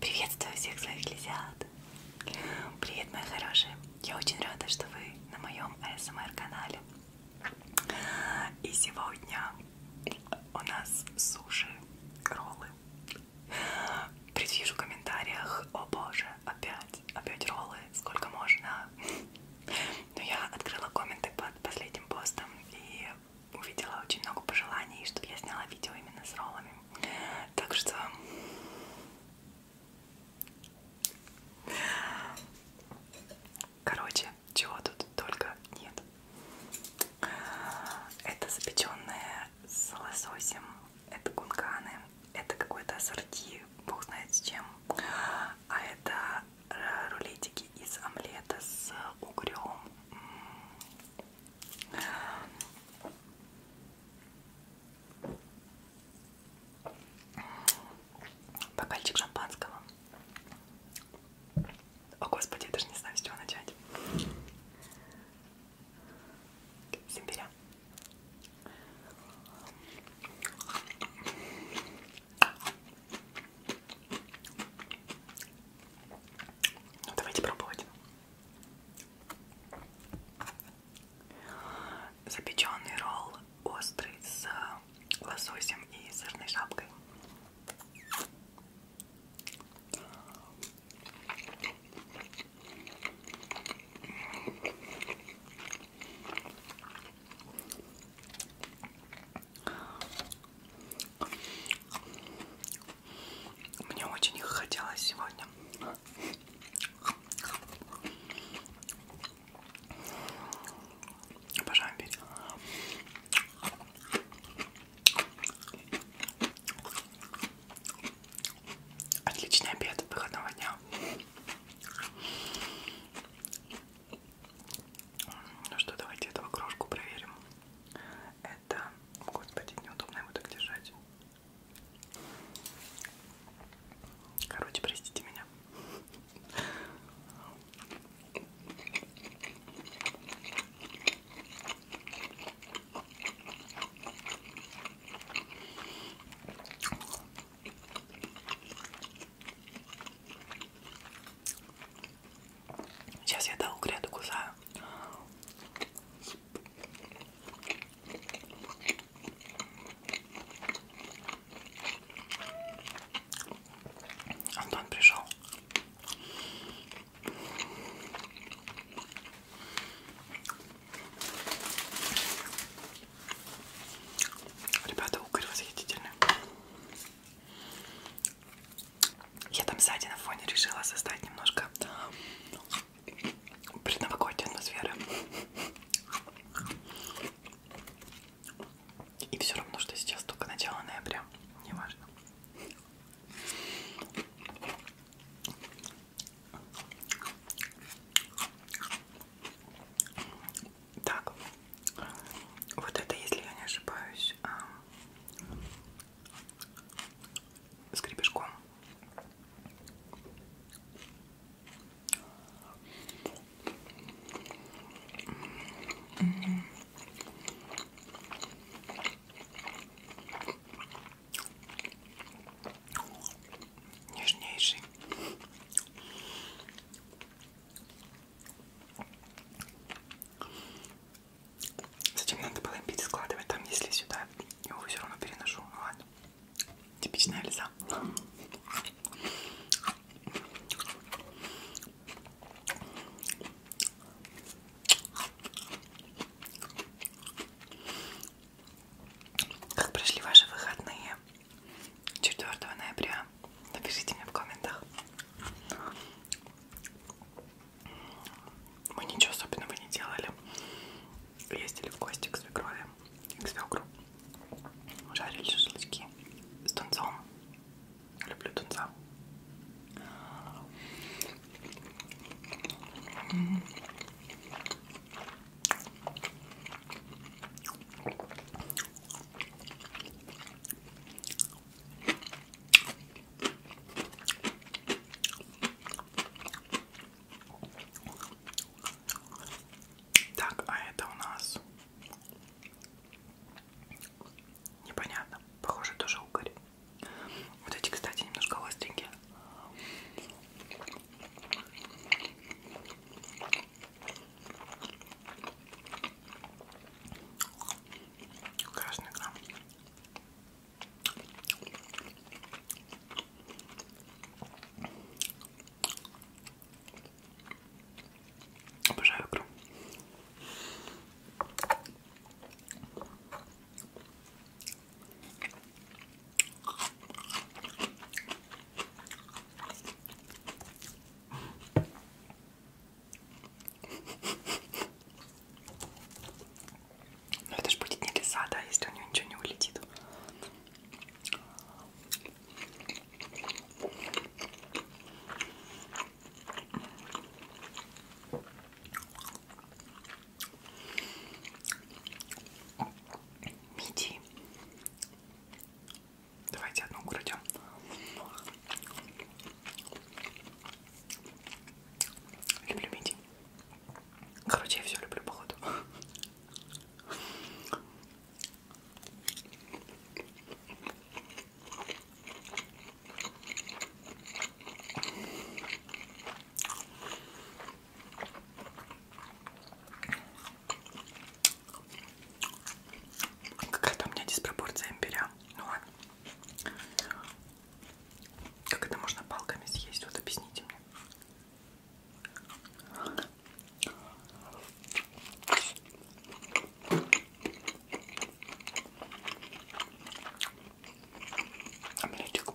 Приветствую всех своих лисят! Привет, мои хорошие! Я очень рада, что вы на моем ASMR-канале. Эм и сегодня у нас суши, роллы. Предвижу в комментариях, о боже, опять, опять роллы, сколько можно. Но я открыла комменты под последним постом и увидела очень много пожеланий, чтобы я сняла видео именно с роллами. Так что короче, чего тут только нет. Это запеченное с лососем, это кунканы, это какой-то ассорти, бог знает с чем. А это рулетики из омлета с угрем. Бокальчик шампанского. О, Господи, я даже не знаю, с чего начать. Сибиря. Ну, давайте пробовать. Запеченный ролл острый с лососем и сырной шапкой. Мне очень их хотелось сегодня. Обожаю пить. Отличный обед выходного дня. Ну что, давайте этого кружку проверим. Это, господи, неудобно его так держать. Короче, простите меня. Сейчас я до угря докусаю. Антон пришел. Ребята, угорь восхитительный. Я там сзади на фоне решила создать немножко предновогодней атмосферы. И все равно, что сейчас только начало ноября. Неважно. Так, вот это, если я не ошибаюсь, а, с гребешком. Нежнейший. Зачем надо было им перескладывать там, если сюда? Я его все равно переношу. Ну ладно. Типичная лиза. Как прошли ваши выходные? 4 ноября Напишите мне в комментах. Мы ничего особенного не делали. Ездили в гости к свекрови, к свекру. Жарили шашлычки с тунцом. Люблю тунца. Так, а это у нас непонятно. Похоже, тоже угорь. Вот эти, кстати, немножко остренькие. Красный крам. Обожаю крам. Но ну, это же будет не лиса, да, если у нее ничего не улетит. Мидии. Давайте одну украдем. Люблю мидии. Короче, я все люблю, походу. Какая-то у меня диспропорция имбиря. Ну ладно. Как это можно палками съесть? Вот объясните мне. Омлетик.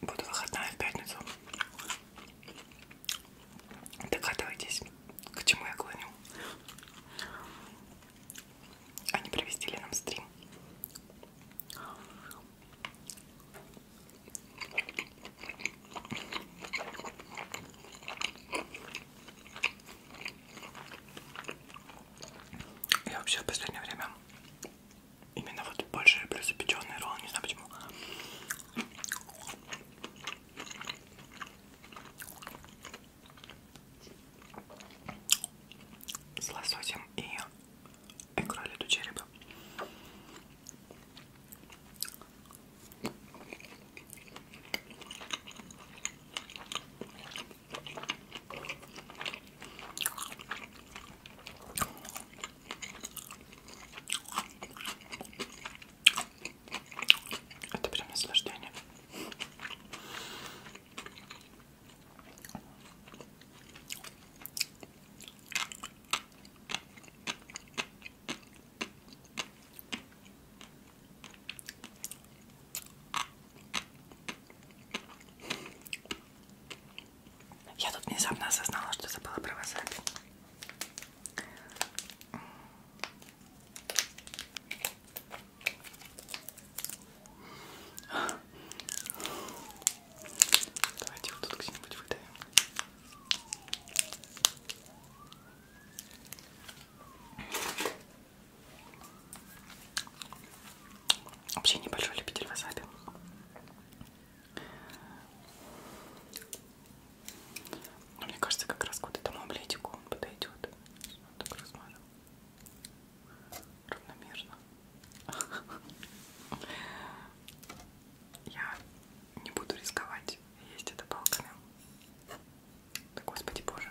Буду выходная в пятницу. Догадывайтесь, к чему я клоню. Они провестили нам стрим. Я вообще в последнее время Именно вот больше я люблю запеченный ролл, не знаю почему. С лососем и икрой летучей рыбы. Это прям наслаждение. Я тут внезапно осознала, что забыла про васаби. Давайте его тут где-нибудь выдавим. Вообще небольшой любитель васаби. Но ну, мне кажется, как раз к этому облетику он подойдет. Вот так размажу. Равномерно. Я не буду рисковать есть это палками. Да, Господи Боже.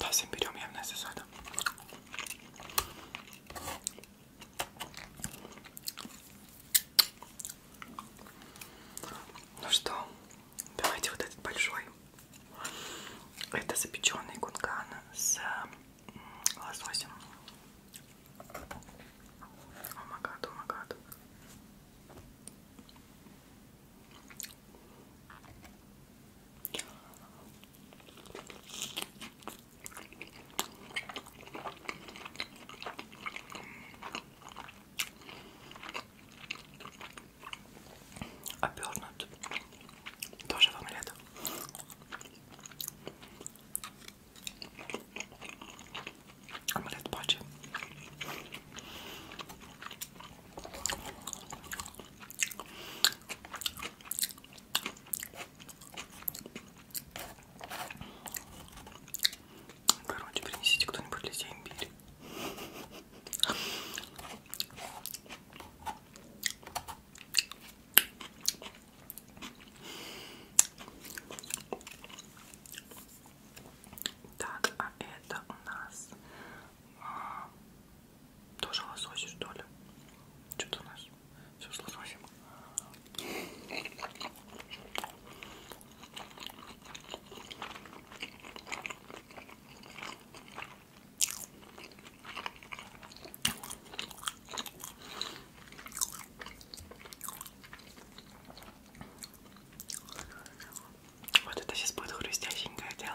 Да, всем берем явно с это. Ну что, давайте вот этот большой. Это запеченный кунган с лососем. О, магад, о, магад. Обернут тоже в омлет. Омлет пачи. Короче, принесите кто-нибудь листья имбирь. Так, а это у нас а, тоже лосось, что ли? Что-то у нас все с лососем. Вот это сейчас будет хрустященькое дело.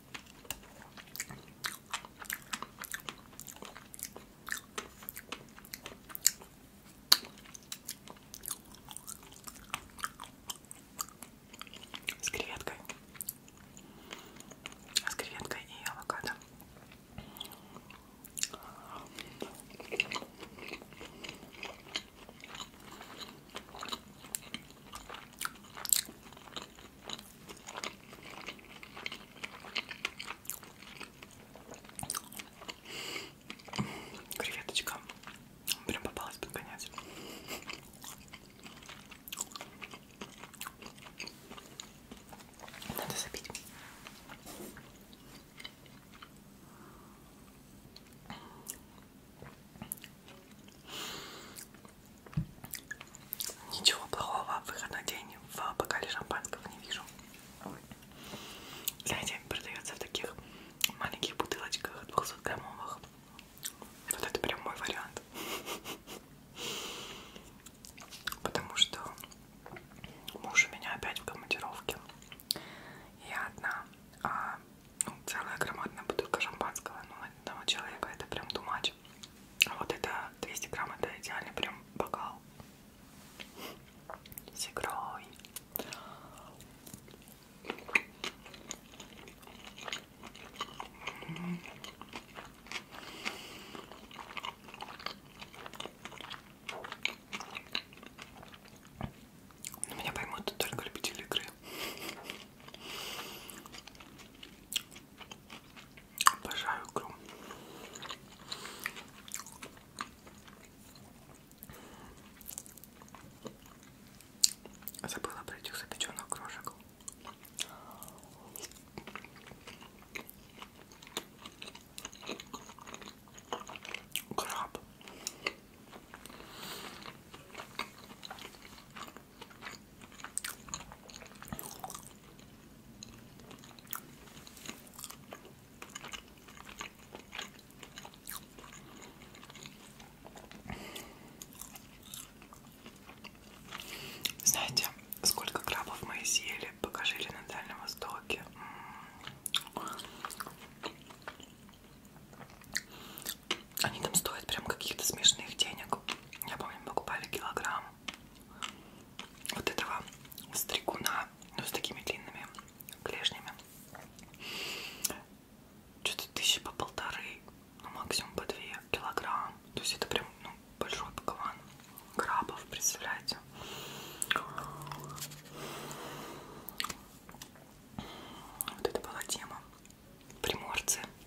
С креветкой. С креветкой и авокадо. Креветочка прям попалась под конец. Надо забить. Ничего плохого в выходной день в бокале шампанского не вижу. Знаете, продается в таких маленьких бутылочках 200 граммовых. Вот это прям мой вариант. Потому что муж у меня опять в командировке. Я одна. А ну, целая громадная бутылка шампанского, ну, на одного человека это прям тумач. А вот это 200 грамм, это идеально прям бокал с игрой. Меня поймут только любители игры. Обожаю икру. Забыла про этих запеченных крошек. Краб. Знаете, сколько крабов мы съели, пока жили на Дальнем Востоке? Они там стоят прям каких-то смешных денег. Я помню, мы покупали килограмм вот этого стригуна, ну, с такими длинными клешнями. Что-то тысячи по полторы, ну, максимум по две килограмм. То есть это прям, ну, большой пакован крабов, представляете? Вот это была тема. Приморцы.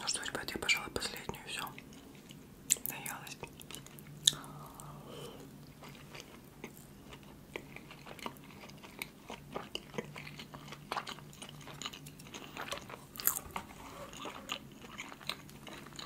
Ну что, ребят, я, пожалуй, последнюю все. Наялась.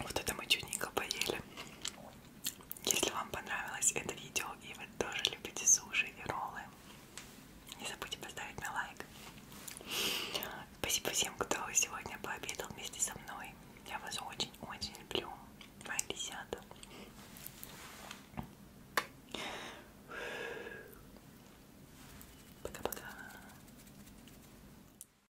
Вот это мы чудненько поели. Если вам понравилось это видео и вы тоже любите суши и роллы, не забудьте поставить мне лайк. Спасибо всем, кто сегодня пообедал вместе со мной. Я вас очень-очень люблю. Мои лисята. Пока-пока.